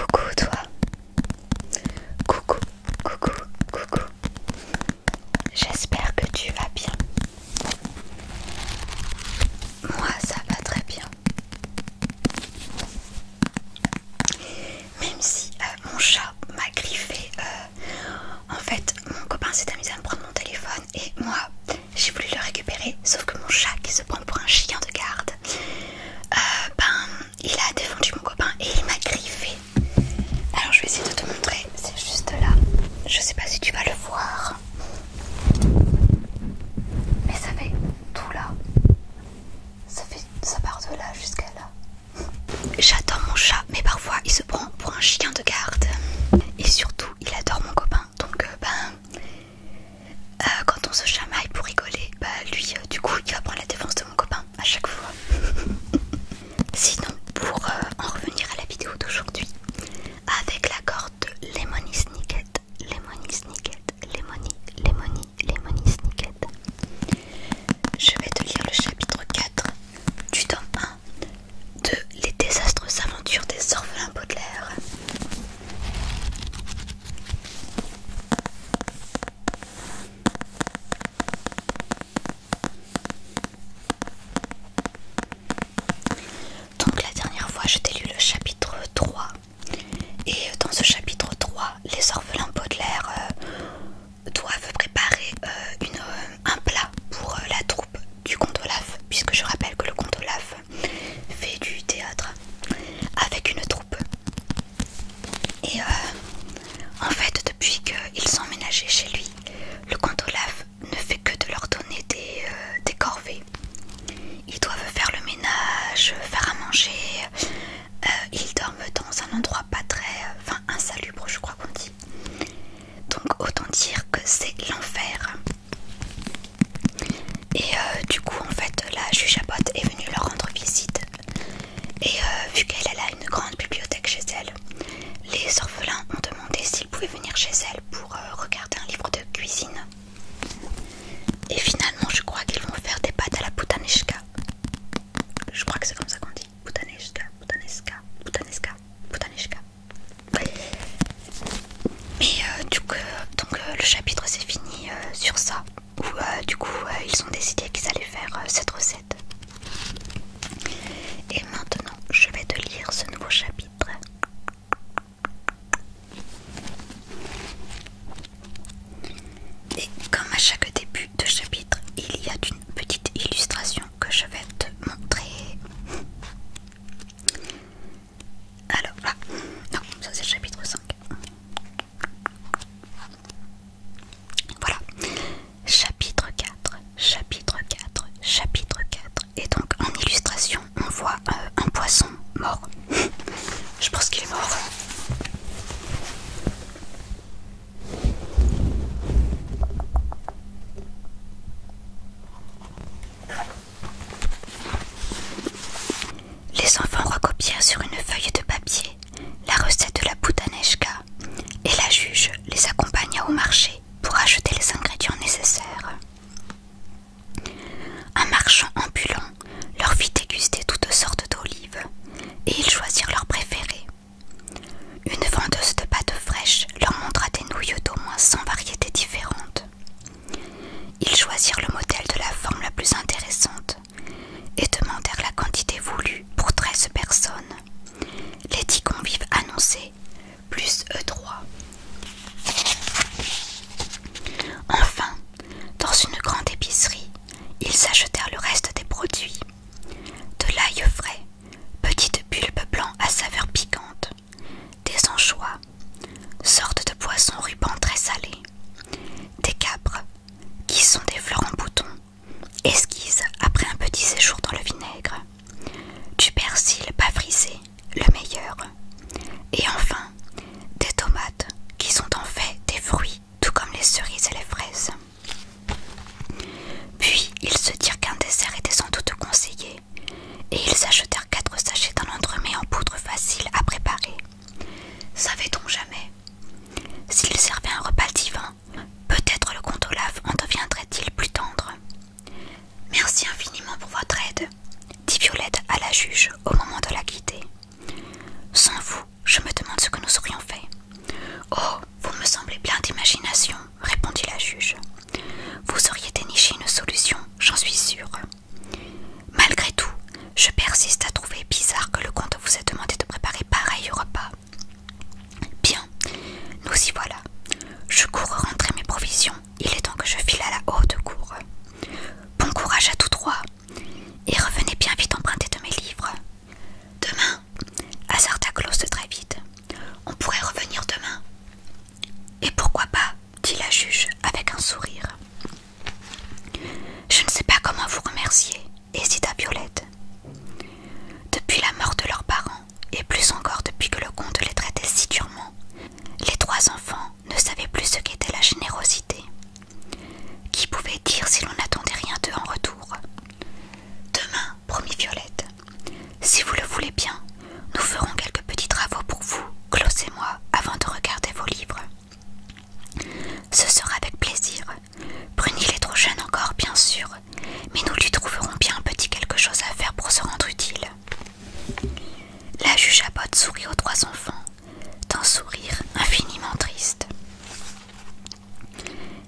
Coucou toi, Coucou, coucou, coucou. J'espère que tu vas bien. Moi, ça va très bien. Même si euh, mon chat m'a griffé, euh, en fait, mon copain s'est amusé à me prendre mon téléphone et moi, j'ai voulu le récupérer, sauf que mon chat qui se prend pour un chien de garde, euh, ben il a défendu mon copain et il m'a griffé. Alors je vais essayer de te montrer, c'est juste là. Je sais pas si tu vas le voir. Mais ça fait tout là. Ça, fait, ça part de là jusqu'à là. J'adore mon chat, mais parfois il se prend pour un chien de garde. Et surtout, il adore mon copain. Donc, euh, ben, euh, quand on se chamaille pour rigoler, bah lui, euh, du coup, il va prendre la défense de mon copain à chaque fois. Sinon, pour euh, en revenir à la vidéo d'aujourd'hui, avec la corde de Lemony Snicket, Lemony Snicket, Lemony, Lemony, Lemony Snicket, je vais te lire le chapitre 4 du tome 1 de Les désastreuses aventures des orphelins Baudelaire. Donc la dernière fois je t'ai lu le chapitre 3 et euh, dans ce chapitre 3 les orphelins Baudelaire euh, doivent préparer euh, un plat pour la troupe du comte Olaf puisque je rappelle que le comte Olaf fait du théâtre avec une troupe et euh, en fait, depuis qu'ils sont ménagés chez lui, le comte Olaf ne fait que de leur donner euh, des, corvées. Ils doivent faire le ménage, faire à manger. Euh, ils dorment dans un endroit pas très, enfin insalubre, je crois qu'on dit. Donc autant dire que c'est l'enfer. Et du coup, en fait, la juge Abbott est venue leur rendre visite et euh, vu qu'elle a une grande bibliothèque chez elle, les orphelins ont demandé s'ils pouvaient venir chez elle pour euh, regarder un livre de cuisine. Et finalement, je crois qu'ils vont faire des pâtes à la putaneshka. Je crois que c'est comme ça qu'on dit. Putaneshka, putaneshka, putaneshka, Mais euh, du coup, donc, le chapitre s'est fini sur ça où euh, du coup euh, ils ont décidé qu'ils allaient faire euh, cette recette. Et maintenant je vais te lire ce nouveau chapitre. Et comme à chaque début de chapitre, il y a une petite illustration que je vais te montrer. Alors, ah, non, ça c'est le chapitre 5. Voilà. Chapitre 4, chapitre 4, chapitre 4. Et donc en illustration, on voit euh, un poisson mort. Je pense qu'il est mort. Les enfants recopièrent sur une feuille de papier la recette de la boutaneshka et la juge les accompagna au marché pour acheter les ingrédients nécessaires. Un marchand ambulant leur fit déguster toutes sortes d'olives et ils choisirent leurs préférés. Une vendeuse de pâtes fraîches leur montra des nouilles d'au moins 100 variétés différentes. Ils choisirent le modèle de la forme la plus intéressante et demandèrent la quantité voulue pour treize personnes. Les dix convives annoncés, plus eux trois. Enfin, dans une grande épicerie, ils achetèrent le reste des produits. De l'ail frais, petites bulbes blancs à saveur piquante, des anchois, sortes de poisson rubans très salé des capres, qui sont des fleurs en bouton, esquisses après un petit séjour dans le vinaigre, du persil pas frisé, le meilleur, et enfin des tomates qui sont en fait des fruits, tout comme les cerises et les fraises. Puis ils se dirent qu'un dessert était sans doute conseillé, et ils achetèrent quatre sachets d'un entremets en poudre facile à préparer, Savait-on jamais S'il servait un repas divin, peut-être le comte Olaf en deviendrait-il plus tendre. Merci infiniment pour votre aide, dit Violette à la juge au moment de la quitter. Sans vous, je me demande ce que nous aurions fait. Oh, vous me semblez plein d'imagination, répondit la juge. Vous auriez déniché une solution, j'en suis sûre. Malgré tout, je persiste à trouver bizarre que le comte vous ait demandé de préparer pareil repas. Bien, nous y voilà. Je cours rentrer mes provisions. Il est temps que je file à la haute cour. Bon courage à tous trois. Et revenez bien vite emprunter de mes livres. Demain, Azarta close très vite. On pourrait revenir demain. Et pourquoi pas, dit la juge avec un sourire. Je ne sais pas comment vous remercier, hésita Violette. Depuis la mort de leurs parents, et plus encore depuis que le comte les traitait si durement, les trois enfants ne savaient plus ce qu'était la générosité. Qui pouvait dire si l'on n'attendait rien d'eux en retour Demain, promit Violette, si vous le voulez bien, nous ferons quelques petits travaux pour vous, Klaus et moi, avant de regarder vos livres. Ce sera avec plaisir. Brunil est trop jeune encore, bien sûr, mais nous lui trouverons bien un petit quelque chose à faire pour se rendre utile. La juge sourit aux trois enfants, d'un sourire infiniment triste.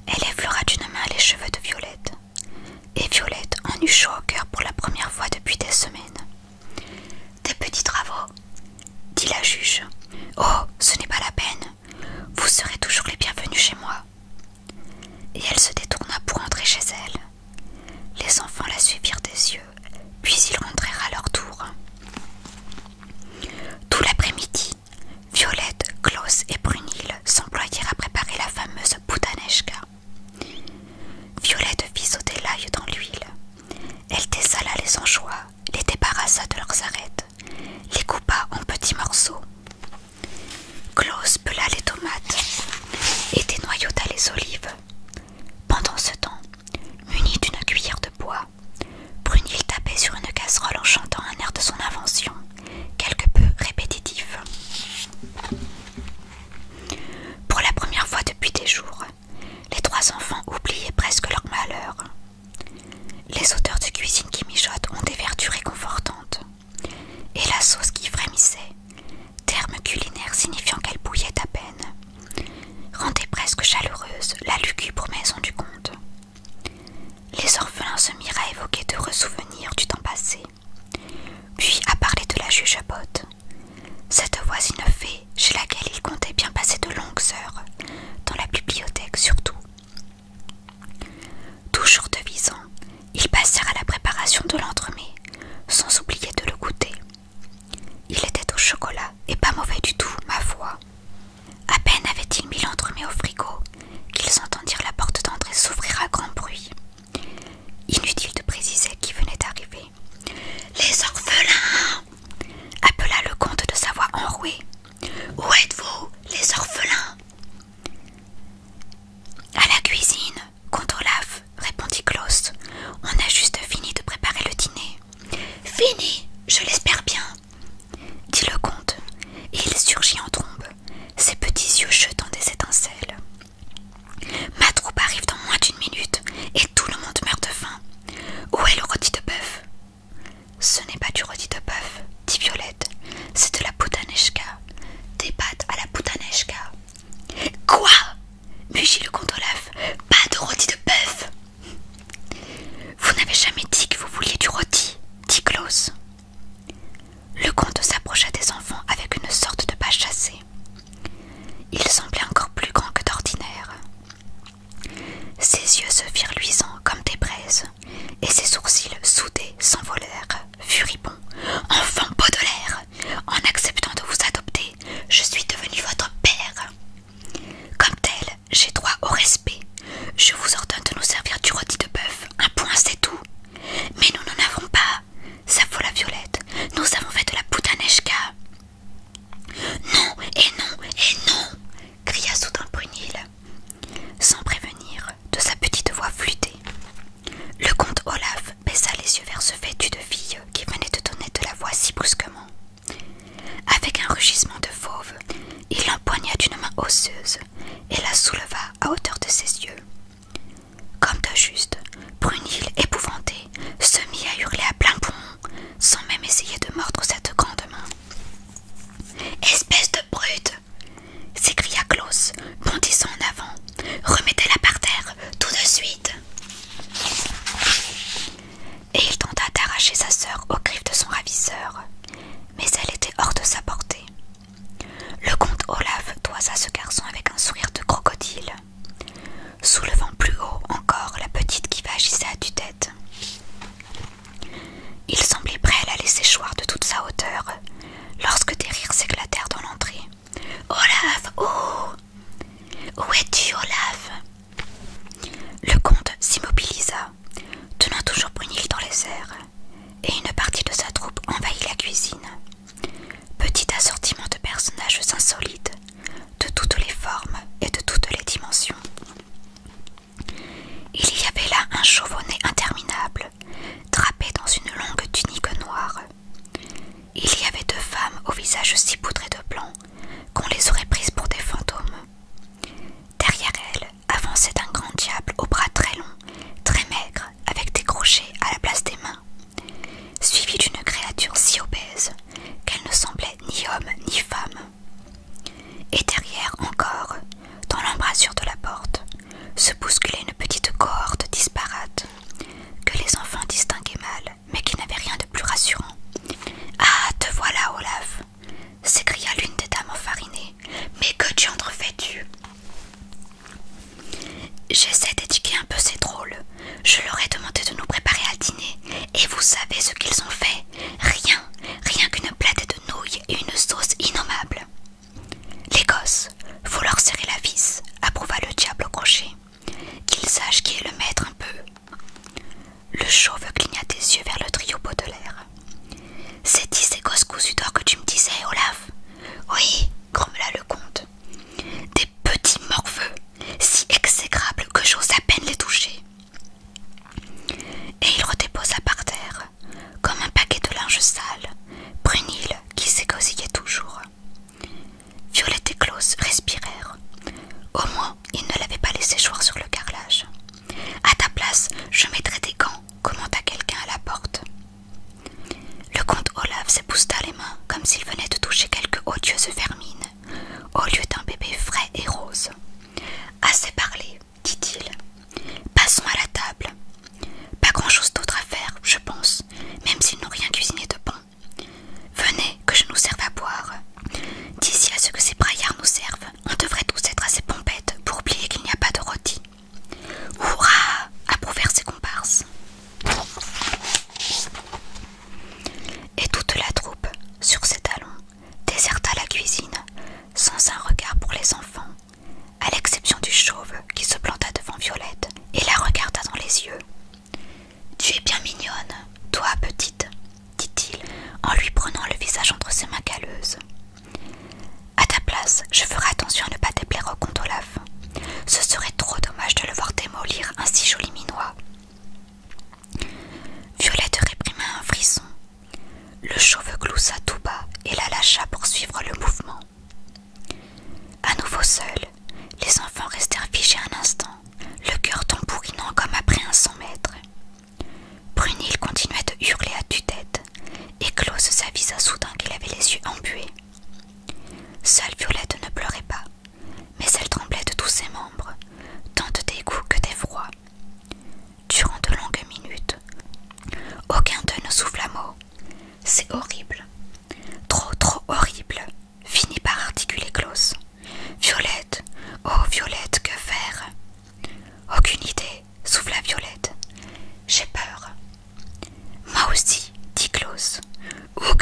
Elle effleura d'une main les cheveux de Violette, et Violette en eut chaud au cœur pour la première fois depuis des semaines. Des petits travaux dit la juge. Oh, ce n'est pas la peine. Vous serez toujours les bienvenus chez moi. Et elle se détourna pour entrer chez elle. Les enfants la suivirent des yeux, puis ils rentrèrent à leur tour. Tout l'après-midi, Violette, Klaus et Brunil s'employèrent à préparer la fameuse boudaneshka. Violette fit sauter l'ail dans l'huile. Elle désala les anchois, les débarrassa de leurs arêtes, les coupa en petits morceaux. Claus pela les tomates et dénoyota les olives. Pendant ce temps, muni d'une cuillère de bois, Brunil tapait sur une casserole en chantant un air de son invention, quelque peu répétitif. Pour la première fois depuis des jours, les trois enfants oubliaient presque leur malheur. Les odeurs de cuisine qui mijotent ont des vertus réconfortantes. Et la sauce qui frémissait, terme culinaire signifiant qu'elle bouillait à peine, rendait presque chaleureuse la lugubre maison du comte. Les orphelins se mirent à évoquer de souvenirs du temps passé, puis à parler de la juge à botte, cette voisine fée, chez laquelle il comptait bien passer de longues heures, dans la bibliothèque surtout. Toujours devisant, ils passèrent à la préparation de l'entremet, sans oublier de le goûter. Il était au chocolat et pas mauvais du tout, ma foi. À peine avait-il mis l'entremet au frigo qu'ils entendirent la porte d'entrée s'ouvrir à grand bruit. Inutile de préciser qui venait d'arriver. Les orphelins appela le comte de sa voix enrouée. Où êtes-vous, les orphelins À la cuisine, comte Olaf, répondit Klaus. On a juste fini de préparer le dîner. Fini, je l'espère bien, dit le comte, et il surgit en trombe, ses petits yeux jetant des étincelles. Ma troupe arrive dans moins d'une minute et tout le monde meurt de faim. Où est le rôti de bœuf Ce n'est pas du rôti de bœuf, dit Violette, c'est de la poutaneska des pâtes à la poutaneska Quoi mugit le comte Olaf, pas de rôti de bœuf Vous n'avez jamais dit que vous vouliez du rôti, dit Klaus. Le comte s'approcha des enfants avec une sorte de pas chassé. Il semblait encore plus grand que d'ordinaire. Ses yeux se firent luisants comme des braises, et ses sourcils soudés s'envolèrent, furibonds. Enfant Baudelaire, en acceptant de vous adopter, je suis devenu votre père. Comme tel, j'ai droit au respect. Je vous ordonne de nous servir du rôti de bœuf, un point c'est tout. Mais nous n'en avons pas. Ça vaut la violette. Nous avons fait de la Nechka. Non, et non, et non cria soudain Brunil, sans prévenir, de sa petite voix flûtée. Le comte Olaf baissa les yeux vers ce vêtu de fille qui venait de donner de la voix si brusquement. Avec un rugissement de fauve, il l'empoigna d'une main osseuse et la souleva à hauteur de ses yeux. Comme de juste, Brunil, épouvanté, se mit à hurler à plein poumon, sans même essayer de mordre cette grande main. Espèce de brute s'écria Klaus, bondissant en avant. Remettez-la par terre, tout de suite Et il tenta d'arracher sa sœur aux griffes de son ravisseur, mais elle était hors de sa portée. Le comte Olaf toisa ce garçon avec un sourire de crocodile soulevant plus haut encore la petite qui vagissait à tue-tête. Il semblait prêt à la laisser choir de toute sa hauteur, lorsque des rires s'éclatèrent dans l'entrée. Olaf Oh Où es-tu, Olaf Le comte s'immobilisa, tenant toujours Brunil dans les airs, et une partie de sa troupe envahit la cuisine. Petit assortiment de personnages insolites, de toutes les formes et de toutes les dimensions. Il y avait là un chauve interminable, drapé dans une longue tunique noire. Il y avait deux femmes au visage si poudré de blanc qu'on les aurait prises pour des fantômes. Derrière elles avançait un grand diable aux bras très longs, très maigre, avec des crochets à la place des mains. Suivie d'une créature si obèse qu'elle ne semblait ni homme ni femme. Et derrière encore, dans l'embrasure de la porte, se bousculait une petite cohorte disparate, que les enfants distinguaient mal, mais qui n'avait rien de plus rassurant. Ah, te voilà, Olaf s'écria l'une des dames enfarinées Mais que diantre fais-tu J'essaie d'éduquer un peu ces drôles. Je leur ai demandé de nous préparer à dîner, et vous savez ce qu'ils ont fait Rien, rien qu'une platte de nouilles et une sauce innommable. Les gosses, faut leur serrer la vis, approuva le diable au crochet. Qu'ils sachent qui est le maître un peu. Le chauve cligna des yeux vers le trio Baudelaire. C'est-y ces gosses cousus d'or que tu me disais, Olaf Oui, grommela le comte. Des petits morveux, si exécrables que j'ose à peine les toucher. Et il redéposa par terre, comme un paquet de linge sale, Brunil qui s'égosillait toujours. Violette et Claus respirèrent. Au moins, ils ne l'avaient pas laissé choir sur le carrelage. À ta place, je mettrai des gants, commenta quelqu'un à la porte. Le comte Olaf s'épousta les mains comme s'il venait de toucher quelque odieuse vermine, au lieu d'un bébé frais et rose. Assez parlé, dit-il. Passons à la table. Pas grand-chose d'autre à faire, je pense, même s'ils n'ont rien cuisiné de bon. Venez, que je nous serve à boire. D'ici à ce que ces braillards nous servent, on devrait tous être assez pompettes pour oublier qu'il n'y a pas de rôti. Hurrah approuvèrent ses comparses. Et toute la troupe, sur ses talons, déserta la cuisine, sans un regard pour les enfants, à l'exception du chauve qui se planta devant Violette et la regarda dans les yeux. Tu es bien mignonne, toi, petite, dit-il, en lui prenant le visage entre ses mains calleuses. À ta place, je ferai attention à ne pas déplaire au ce serait trop dommage de le voir démolir un si joli minois. Violette réprima un frisson. Le chauve gloussa tout bas et la lâcha pour suivre le mouvement. À nouveau seul, les enfants restèrent figés un instant, le cœur tambourinant comme après un cent mètres. Brunil continuait de hurler à tue-tête, et Claus s'avisa soudain qu'il avait les yeux embués. Seule Violette ne pleurait pas, mais elle tremblait de tous ses membres, tant de dégoût que d'effroi. Durant de longues minutes, aucun d'eux ne souffla mot. C'est horrible, trop trop horrible, finit par articuler close Violette, oh Violette, que faire Aucune idée, souffla Violette. J'ai peur. Moi aussi, dit Claus. Oux,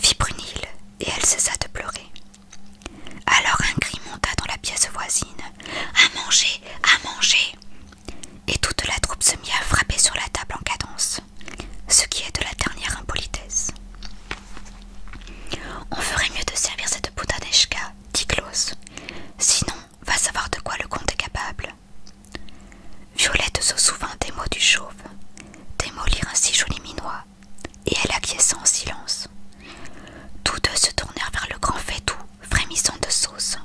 fit Brunil, et elle cessa de pleurer. Alors un cri monta dans la pièce voisine. À manger, à manger Et toute la troupe se mit à frapper sur la table en cadence, ce qui est de la dernière impolitesse. On ferait mieux de servir cette poudre dit Claus. Sinon, va savoir de quoi le comte est capable. Violette se souvint des mots du chauve, démolir un si joli minois, et elle acquiesça en silence. Tous deux se tournèrent vers le grand Fédou, frémissant de sauce,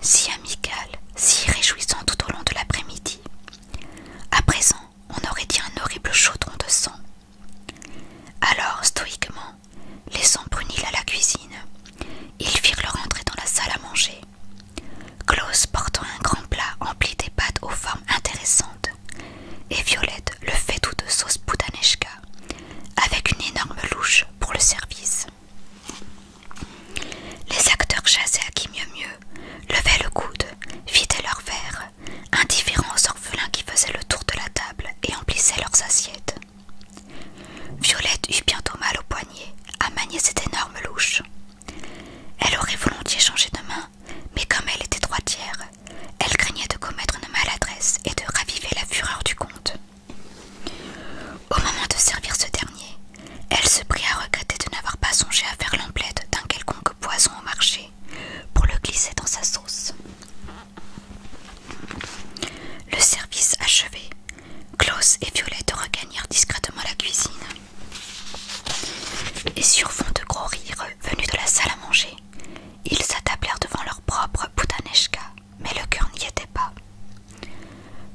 si amical, si réjouissant tout au long de l'après-midi. À présent, on aurait dit un horrible chaudron de sang. Alors, stoïquement, laissant Brunil à la cuisine, ils firent leur entrée dans la salle à manger. Klaus portant un grand plat empli des pâtes aux formes intéressantes, et Violette le fait tout de sauce Boudaneshka, avec une énorme louche pour le service. Les acteurs chassaient à qui mieux mieux, levaient le coude, vidaient leurs verres, indifférents aux orphelins qui faisaient le tour de la table et emplissaient leurs assiettes. Violette eut bientôt mal au poignet à manier cette énorme louche. Elle aurait volontiers changé de main, mais comme elle était droitière, elle craignait de commettre une maladresse et de raviver la fureur du comte. Au moment de servir ce dernier, elle se prit à regretter de n'avoir pas songé à faire l'emplette d'un quelconque poison au marché pour le glisser dans sa sauce. Le service achevé, Klaus et Violette regagnèrent discrètement la cuisine. Et sur fond de gros rires venus de la salle à manger, ils s'attablèrent devant leur propre Boutaneshka, mais le cœur n'y était pas.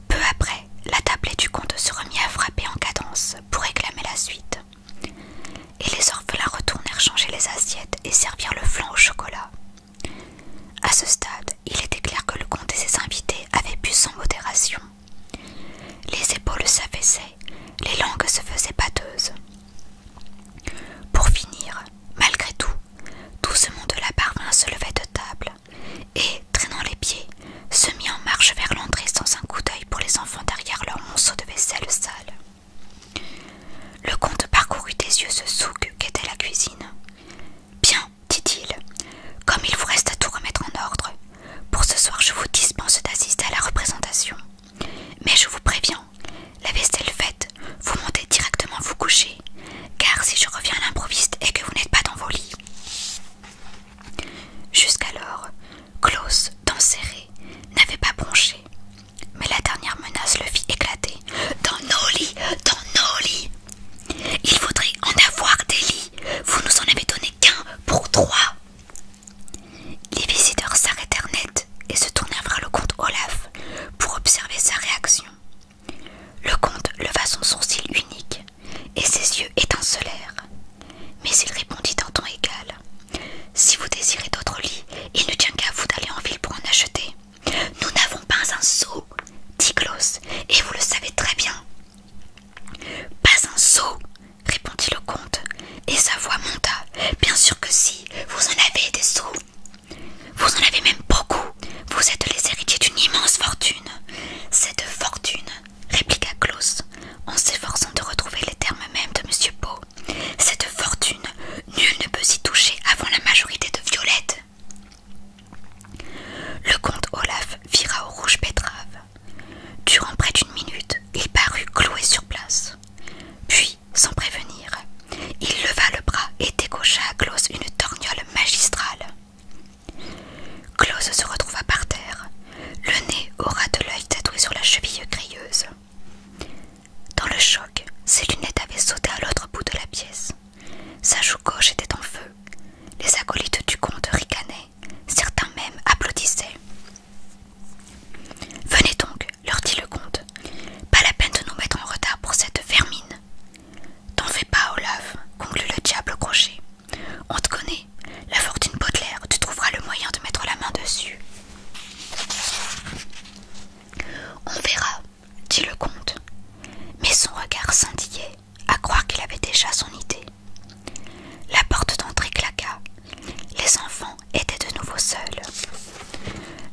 Peu après, la tablée du comte se remit à frapper en cadence pour réclamer la suite. Et les orphelins retournèrent changer les assiettes et servirent le flan au chocolat. À ce stade, il était clair que le comte et ses invités avaient pu sans modération. Les épaules s'affaissaient, les langues se faisaient pâteuses. Pour finir, malgré tout, tout ce monde de la parvin se levait de table et, traînant les pieds, se mit en marche vers l'entrée sans un coup d'œil pour les enfants derrière leur monceau de vaisselle sale. Le comte parcourut des yeux ce souk qu'était la cuisine. Bien, dit-il, comme il vous reste à tout remettre en ordre, pour ce soir je vous dispense d'assister à la représentation. Mais je vous préviens, la veste est faite, vous montez directement vous coucher, car si je reviens à l'improviste et que vous n'êtes pas dans vos lits. Jusqu'alors, Klaus, dents serrées, n'avait pas bronché, mais la dernière menace le fit éclater. Dans nos lits, dans nos lits, il faudrait en avoir des lits. Vous nous en avez donné qu'un pour trois. Les visiteurs s'arrêtèrent net et se tournèrent vers le comte Olaf pour observer sa réaction. Le comte leva son sourcil unique et ses yeux étincelèrent. Mais il répondit en ton égal. Si vous désirez d'autres lits, il ne tient qu'à vous d'aller en ville pour en acheter. Nous n'avons pas un sot dit Klaus, et vous le savez très bien. Pas un sot répondit le comte, et sa voix monta. Bien sûr que si, vous en avez des sous. Vous en avez même beaucoup. Vous êtes les héritiers d'une immense fortune. Cette fortune, répliqua Klaus, en s'efforçant de retrouver les termes mêmes de Monsieur Poe. Cette fortune, nul ne peut s'y toucher avant la majorité de Violette. Le comte Olaf vira au rouge pétrave. Durant près d'une minute, il parut cloué sur place. Puis, sans prévenir, il leva le bras et décocha à Klaus une torgnole magistrale. Klaus se retrouva par terre, le nez au ras de l'œil tatoué sur la cheville grilleuse. Dans le choc, ses lunettes avaient sauté à l'autre bout de la pièce. Sa joue gauche était en feu. Les acolytes du comte ricanaient, certains même applaudissaient. Venez donc, leur dit le comte. Pas la peine de nous mettre en retard pour cette vermine. T'en fais pas, Olaf, conclut le diable au crochet. On te connaît. La fortune Baudelaire, tu trouveras le moyen de mettre la main dessus. On verra, dit le comte, mais son regard scintillait, à croire qu'il avait déjà son idée. La porte d'entrée claqua. Les enfants étaient de nouveau seuls.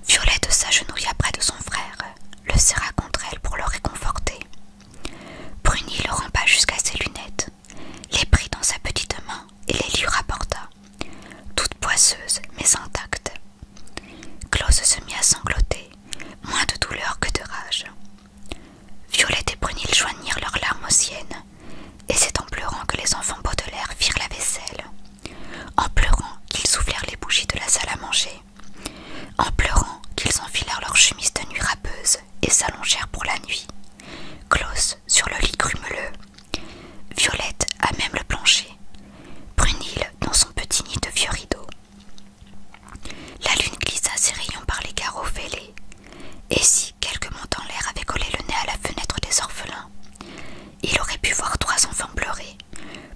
Violette s'agenouilla près de son frère, le serra contre elle pour le réconforter. Bruni le rampa jusqu'à ses lunettes, les prit dans sa petite main et les lui rapporta, toutes poisseuses mais intactes. Close se mit à sangloter, moins de douleur que de rage. Violette et Brunil joignirent leurs larmes aux siennes, et c'est en pleurant que les enfants Baudelaire firent la vaisselle, en pleurant qu'ils soufflèrent les bougies de la salle à manger, en pleurant qu'ils enfilèrent leurs chemises de nuit râpeuses et s'allongèrent pour la nuit. Close sur le lit grumeleux, Violette à même le plancher, Brunil dans son petit nid de vieux rideaux. La lune glissa ses rayons par les carreaux fêlés, et si quelques mots en l'air avait collé le nez à la fenêtre des orphelins, il aurait pu voir trois enfants pleurer,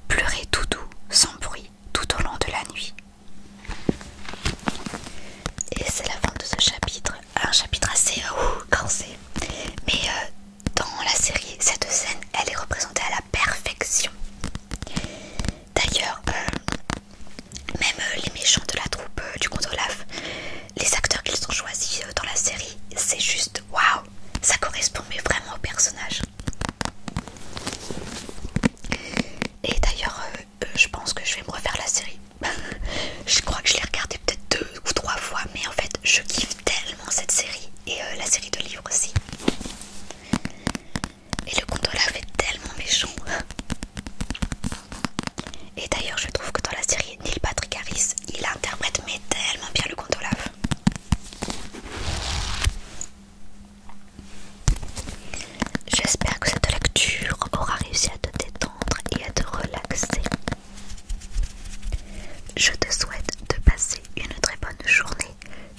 pleurer tout doux, sans bruit, tout au long de la nuit. Et c'est la fin de ce chapitre, un chapitre assez euh, mais euh, dans la série, cette scène, elle est représentée à la perfection. D'ailleurs, euh, même euh, les méchants de la troupe euh, du contre-laf les acteurs qu'ils ont choisis dans la série, c'est juste waouh! Ça correspond vraiment au personnage. Et d'ailleurs, je pense que je vais me refaire la série. je crois que je l'ai regardée peut-être deux ou trois fois, mais en fait, je kiffe tellement cette série et la série de livres aussi. Et le contolave est tellement méchant. Et d'ailleurs, je trouve que dans la série N'il Patrick Harris, il interprète mais tellement bien le contolave J'espère que cette lecture aura réussi à te détendre et à te relaxer. Je te souhaite de passer une très bonne journée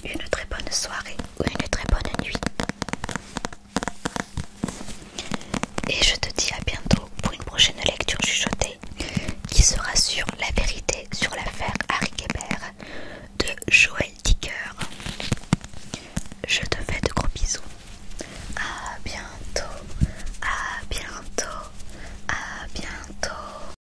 une très bonne soirée ou une très bonne nuit. Et je te dis à bientôt pour une prochaine lecture chuchotée qui sera sur la vérité sur l'affaire Harry Kébert de Joël Dicker. Je te fais de gros bisous. À bientôt, à bientôt, à bientôt.